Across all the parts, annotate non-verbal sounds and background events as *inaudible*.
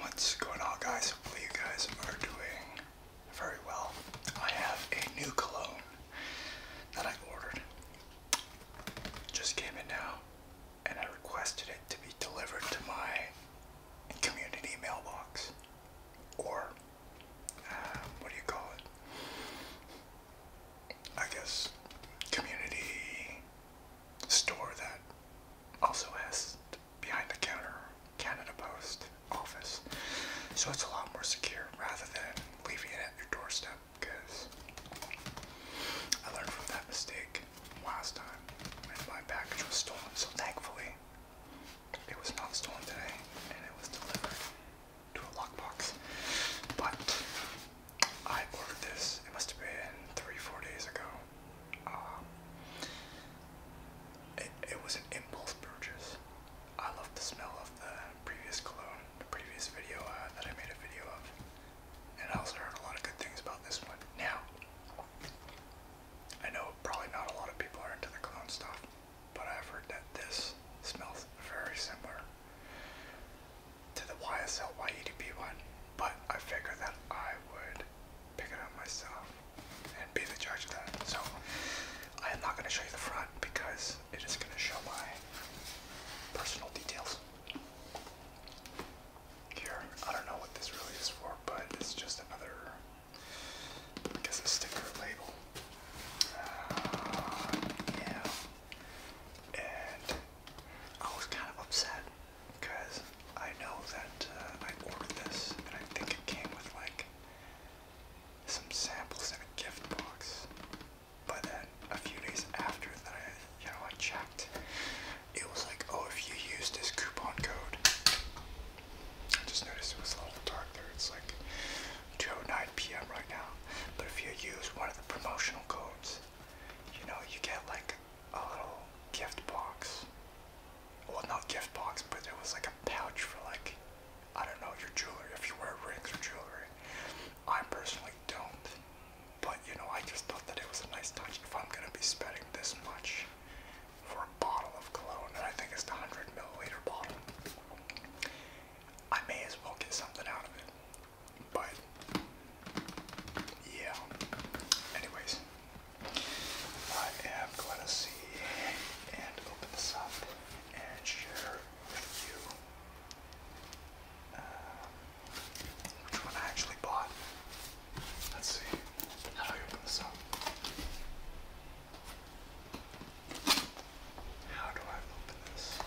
What's going on guys? Hopefully you guys are doing very well. I have a new cologne that I ordered. Just came in now and I requested it to be delivered to my community mailbox. Or uh, what do you call it? I guess community store that also has behind the counter Canada Post office. So it's a lot more secure rather than leaving it at your doorstep because I learned from that mistake last time and my package was stolen. So thankfully, it was not stolen today and it was delivered to a lockbox. But I ordered this. It must have been three, four days ago. Um, it, it was an impulse purchase. I love the smell of the previous cologne, the previous video uh, that I made a video of, and I also heard a lot of good things about this one. Now, I know probably not a lot of people are into the cologne stuff, but I've heard that this smells very similar to the YSL YEDP one, but I figured that I would pick it up myself and be the judge of that. So I am not going to show you the front because it is going to show my personal details. Here, I don't know what this really is for, but it's just another, I guess, a sticker label. Uh, yeah. And I was kind of upset because I know that uh, I ordered this and I think it came with like some samples in a gift box. But then a few days after that, I, you know, I checked. It was like, oh, if you use this coupon code, I just noticed it was a little dark there. It's like 2:09 p.m. right now. But if you use one of the promotional codes, is, you know, you get like a little gift box. Well, not gift box, but it was like a pouch for like, I don't know, your jewelry, if you wear rings or jewelry. I personally don't, but you know, I just thought that it was a nice touch if I'm gonna be spending this much for a bottle of cologne, and I think it's the 100 milliliter bottle. I may as well get something out of it. But yeah. Anyways, I am going to see and open this up and share with you uh, which one I actually bought. Let's see. How do I open this up? How do I open this?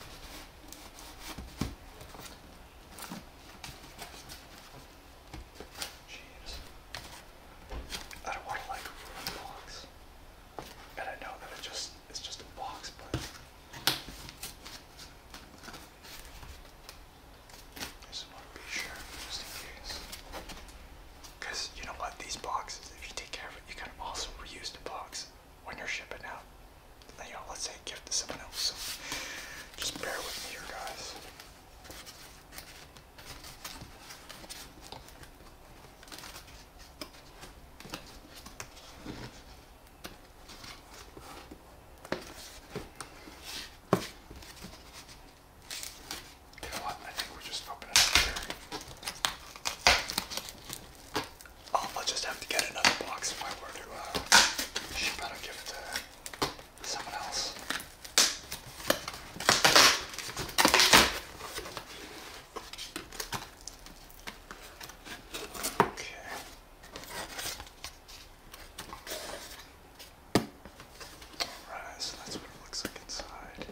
Jeez. I don't want to like ruin the box. And I know that it just it's just a box, but I just want to be sure just in case. Because you know what, these boxes, if you take care of it, you can also reuse the box when you're shipping out. You know, let's say gift to someone else. So just bear with me here, guys. You what? I think we're just opening up here. Oh, I'll just have to get another box if I were to uh, ship give it to someone else. Okay. Alright, so that's what it looks like inside.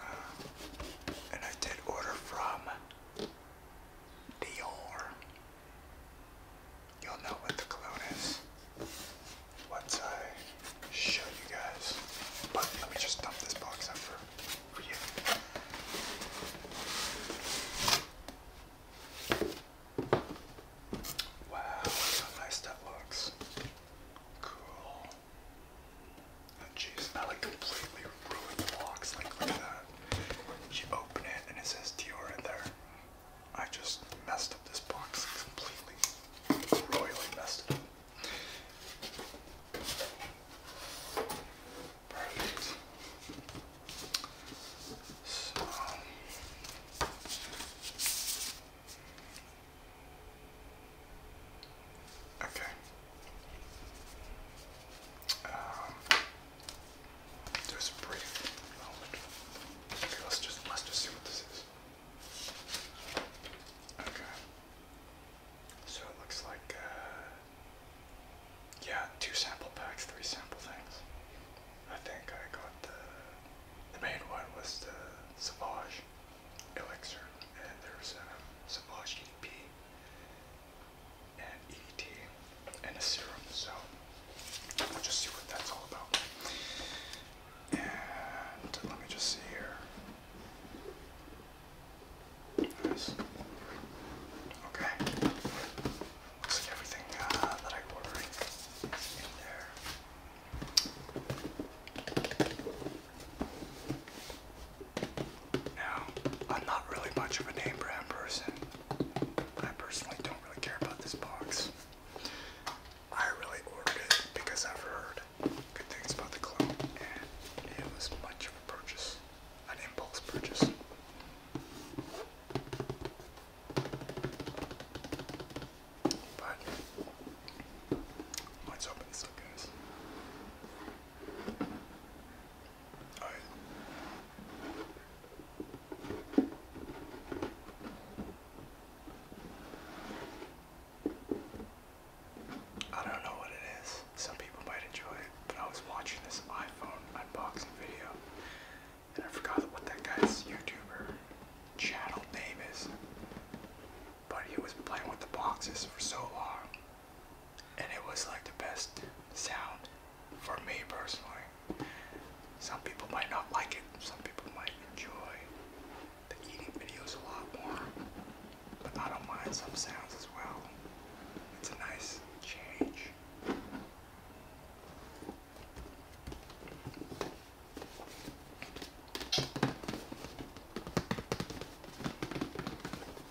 Uh, and I did order from Dior. You'll know what the cologne is once I show you guys. But let me just dump this box out for, for you. Wow, how nice that looks. Cool jeez, that like completely ruined the box. Like that. You open it and it says Dior in there. I just messed up this box completely. Royally messed it up. Perfect. Um, okay, um, there's a brief moment. Okay, let's just let's just see what this is. Okay. So it looks like uh, yeah, two sample packs, three sample things. I think I got the the main one was the Savage Elixir, and there's a um, Savage EP and EDT and a serum. So we'll just see what that's all about. And let me just see here. Nice. Okay. Looks like everything uh, that I ordered is in there. Now, I'm not really much of a name brand person. I personally don't really care about this box. I really ordered it because I've heard good things about the clone, and it was much of a purchase, an impulse purchase. But let's open this up, guys. I don't know what it is. Some people might enjoy it, but I was watching this iPhone unboxing video and I forgot what that guy's YouTuber channel name is. But he was playing with the boxes for so long and it was like the best sound for me personally. Some people might not like it, some people might enjoy the eating videos a lot more, but I don't mind some sounds as well. It's a nice change.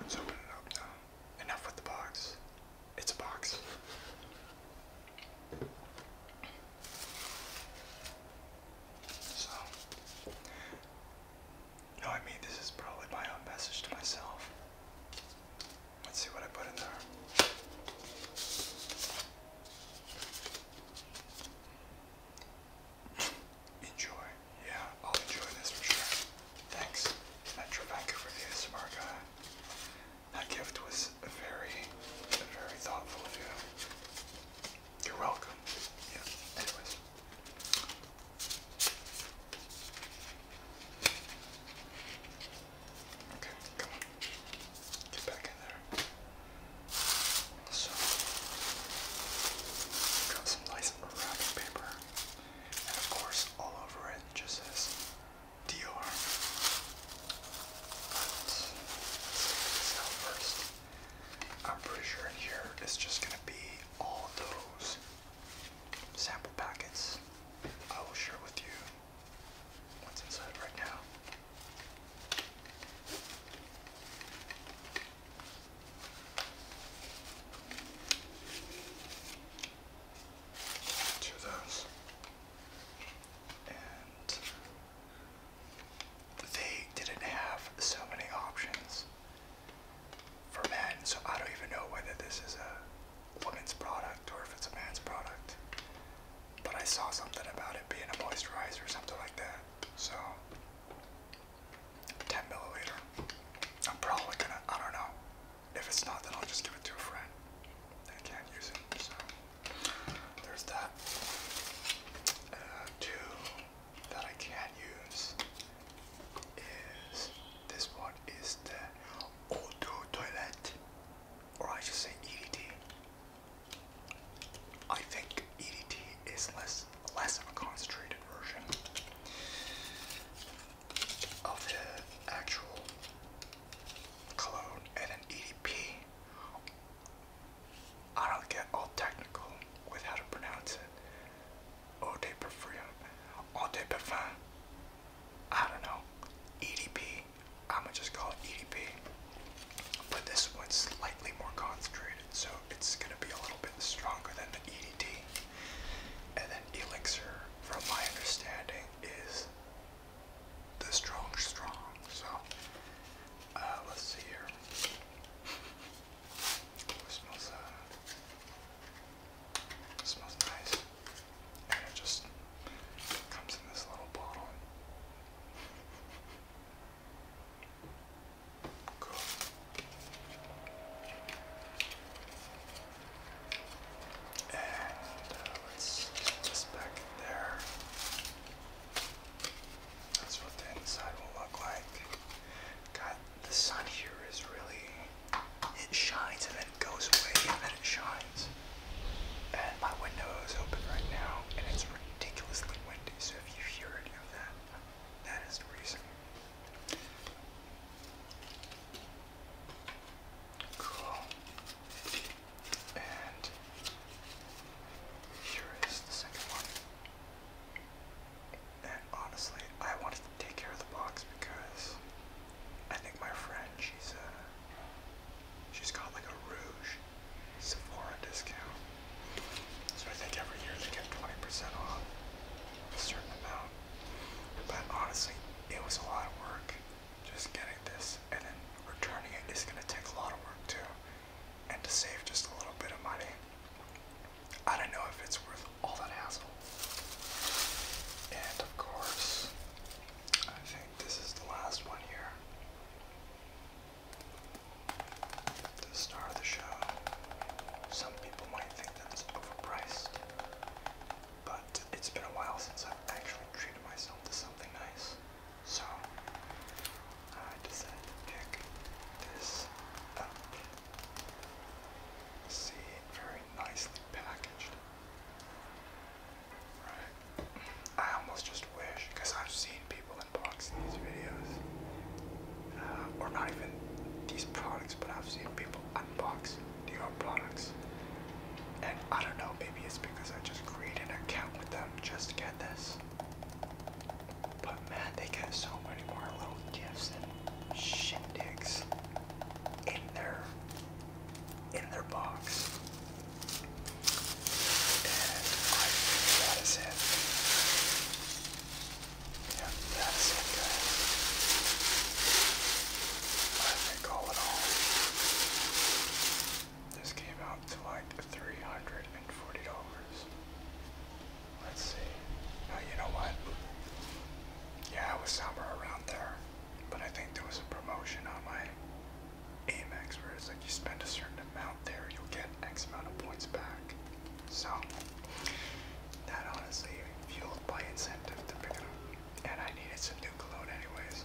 Let's open it up now. Enough with the box. It's a box. So, no, I mean, this is probably my own message to myself. Let's see what I put in there. Enjoy. Yeah, I'll enjoy this for sure. Thanks, Metro Vancouver ASMR guy. That gift was very, very thoughtful of you. You're welcome. Yeah, anyways. Okay, come on. Get back in there. So, got some nice wrapping paper. And of course, all over it just says DR. let's take this out first. I'm pretty sure in here it's just going to be all those sample packets I will share with you what's inside right now. Two of those. And they didn't have so many options for men, so I don't even know whether this is a woman's product or if it's a man's product. But I saw something about it being a moisturizer or something like that. So 10 milliliter. I'm probably gonna, I don't know. If it's not, then I'll just give it to a friend. They can't use it, so there's that. Uh, two that I can't use is this one is the auto toilet or I should say EDT. I think EDT is less less of a concentrated version of the actual clone and an EDP. I don't get all technical with how to pronounce it. Eau de Parfum, Eau de Parfum, I don't know, EDP, I'm gonna just call it EDP, but this one's slightly more concentrated, so it's gonna be a little bit stronger than the EDT. And then Elixir, from my understanding, is the strong strong, so uh, let's see here. *laughs* What smells that? smells nice. And it just comes in this little bottle. And uh, let back there. That's what the inside will look like. God, the sun here is really it shines and then it goes away and then it shines. And my window is open right now and it's ridiculously windy, so if you hear any of that, that is the reason. Cool. And here is the second one. And honestly, I wanted to take care of the box because I think my friend, she's uh, she's got like a Rouge Sephora discount. So I think every year they get 20% off a certain amount. But honestly, it was a lot of work just getting this and then returning it is going to take a lot of work too. And to save just a little bit of money, I don't know if it's worth all that hassle. And of course, I think this is the last one here. The star of the show. Some people might think that's overpriced, but it's been a while since I've actually treated myself to something nice. So I decided to pick this up. See, very nicely packaged. Right. I almost just wish, because I've seen people unbox these videos, uh, or not even these products, but I've seen people unbox Dior products. And I don't know, maybe it's because I just created an account with them just to get this. But man, they get so many more little gifts shindigs in their in their box. that is it. Yeah, that is it I think all in all this came out to like $340. Let's see. Oh, you know what? Yeah, it was somewhere around there. But I think there was a promotion on my Amex where it's like you spend a certain amount there, you'll get X amount of points back. So, that honestly fueled my incentive to pick it up. And I needed some new clothes anyways.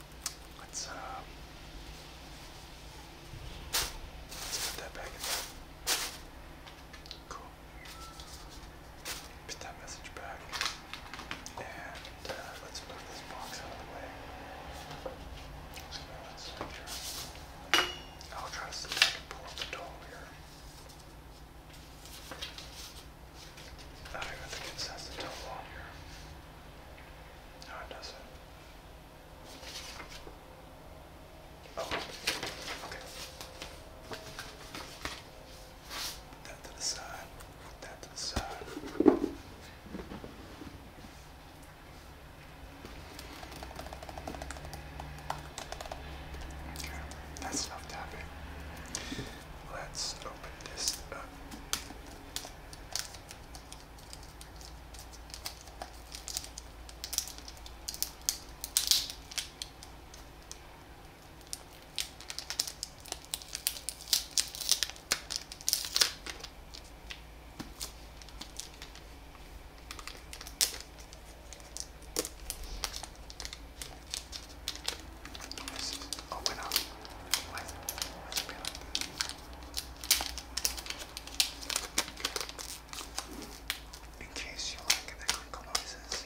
Let's, um, let's put that back in there. Cool. Put that message back. And uh, let's move this box out of the way. So let's make sure. I'll try to see if I can pull up the doll here. I don't even think it says the total on here. No, it doesn't. Oh, okay. Put that to the side. Put that to the side. Okay, that's enough tapping. Let's open this up. This is open up with, with a bit of in case you like the crinkle noises.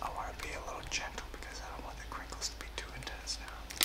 I want to be a little gentle because I don't want the crinkles to be too intense now. Okay.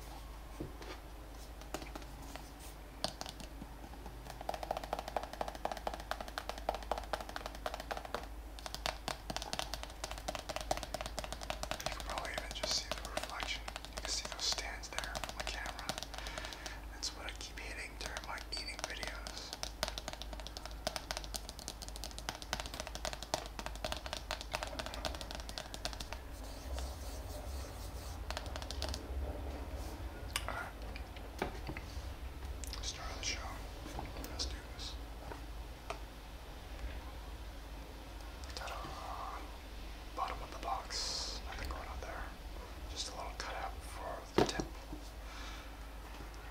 You can probably even just see the reflection. You can see those stands there on the camera. That's what I keep hitting during my eating videos. All right. Start the show. Let's do this. Bottom of the box. Just a little cutout for the tip.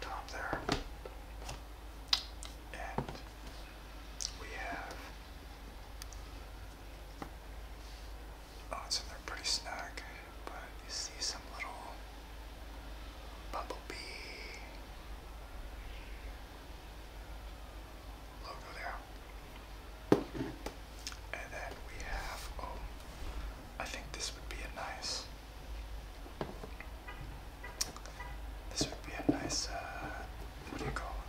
Top there. And we have. Oh, it's they're pretty snug, but you see some little bumblebee logo there. And then we have, oh, I think this would be a nice this would be a nice, uh, what do you call it?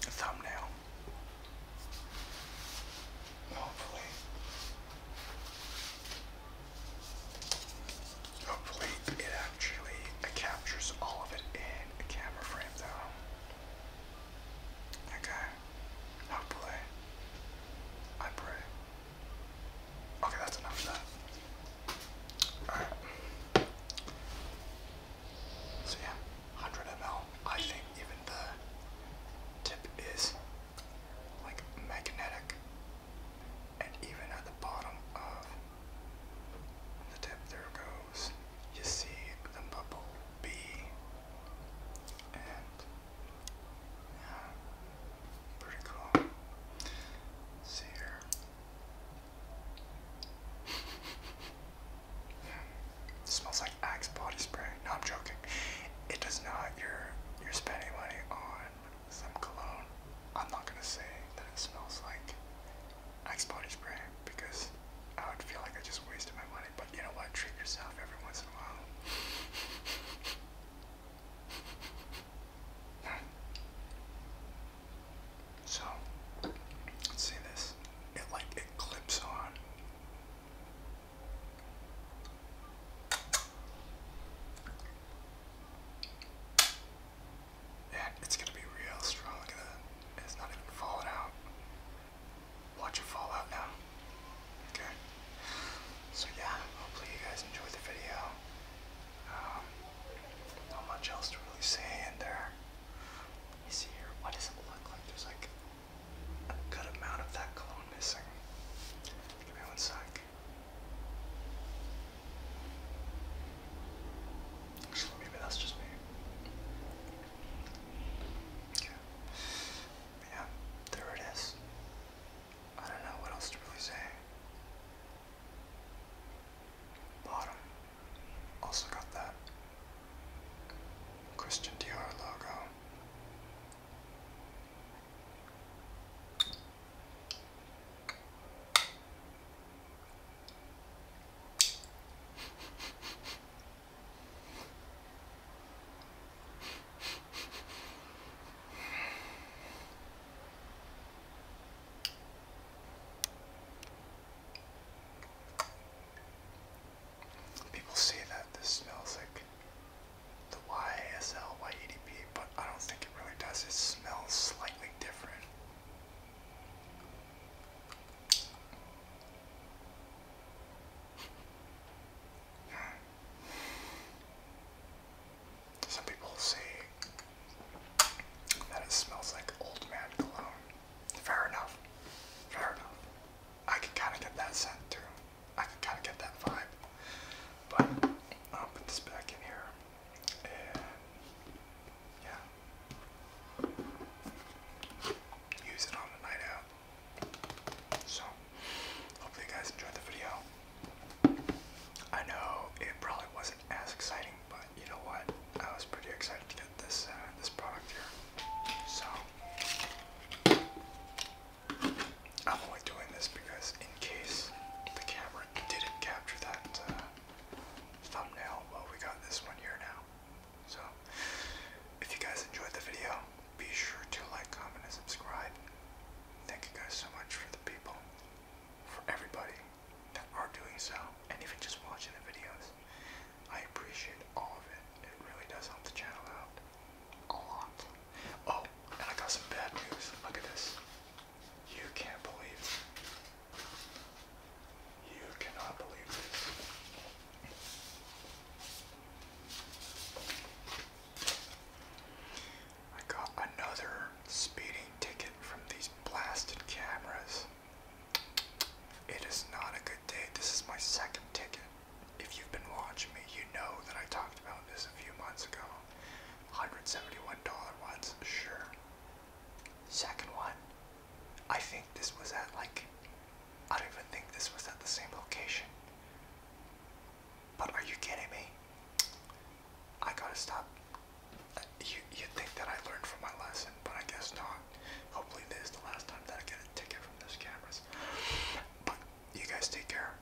thumbnail. Hopefully. Hopefully it actually captures all of it in a camera frame though. Okay. Hopefully. I pray. Okay, that's enough of that. Alright. So yeah, 100 ml. I think even the tip is like magnetic. And even at the bottom of the tip, there goes, you see the bubble B. And yeah, Pretty cool. see here. *laughs* It smells like Axe body spray. No, I'm joking. It does not. You're you're spending money on some cologne. I'm not gonna say that it smells like Axe body spray because I would feel like I just wasted my money. But you know what? Treat yourself every once in a while. *laughs* *laughs* So, let's see this. It like it clips on. Yeah, it's gonna be real strong. Look at that. It's not even falling out. Watch it fall out now. Okay so yeah, hopefully you guys enjoyed the video. Um, not much else to really say in there. Let see here. Why does it look like there's like a good amount of that clone missing? Give me one sec. Actually, maybe that's just me. Yeah, there it is. I don't know what else to really say. Bottom also got that Christian Dior logo. *laughs* People say that this smells like the YSL Y80P, but I don't think it really does. It smells slightly different. Some people say that it smells like old man cologne. Fair enough. Fair enough. I can kind of get that scent too. I can kind of get that vibe. But I'll put this back in here. And yeah. Use it on the night out. So hopefully you guys enjoyed the video. I know it probably wasn't as exciting, but you know what? I was pretty excited to get this uh, this product here. So I'm only doing this because in case the camera didn't capture that uh, thumbnail, well we got this one here now. So if you guys enjoyed the video, be sure to like, comment, and subscribe. Thank you guys so much for the people, for everybody that are doing so, and even just watching the videos. I appreciate all of it. It really does help the channel out a lot. Oh, and I got some bad news. Look at this. You can't believe You cannot believe this. I got another speeding ticket from these blasted cameras. It is not a good day. This is my second ticket. If you've been watching me, you know that I talked about this a few months ago. $171 ones, sure. Second one, I think this was at like, I don't even think this was at the same location. But are you kidding me? I gotta stop. Uh, you, you think that I learned from my lesson, but I guess not. Hopefully this is the last time that I get a ticket from those cameras. But you guys take care.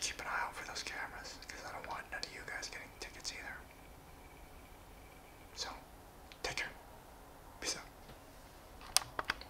Keep an eye out for those cameras, because I don't want none of you guys getting tickets either. So, take care. Peace out.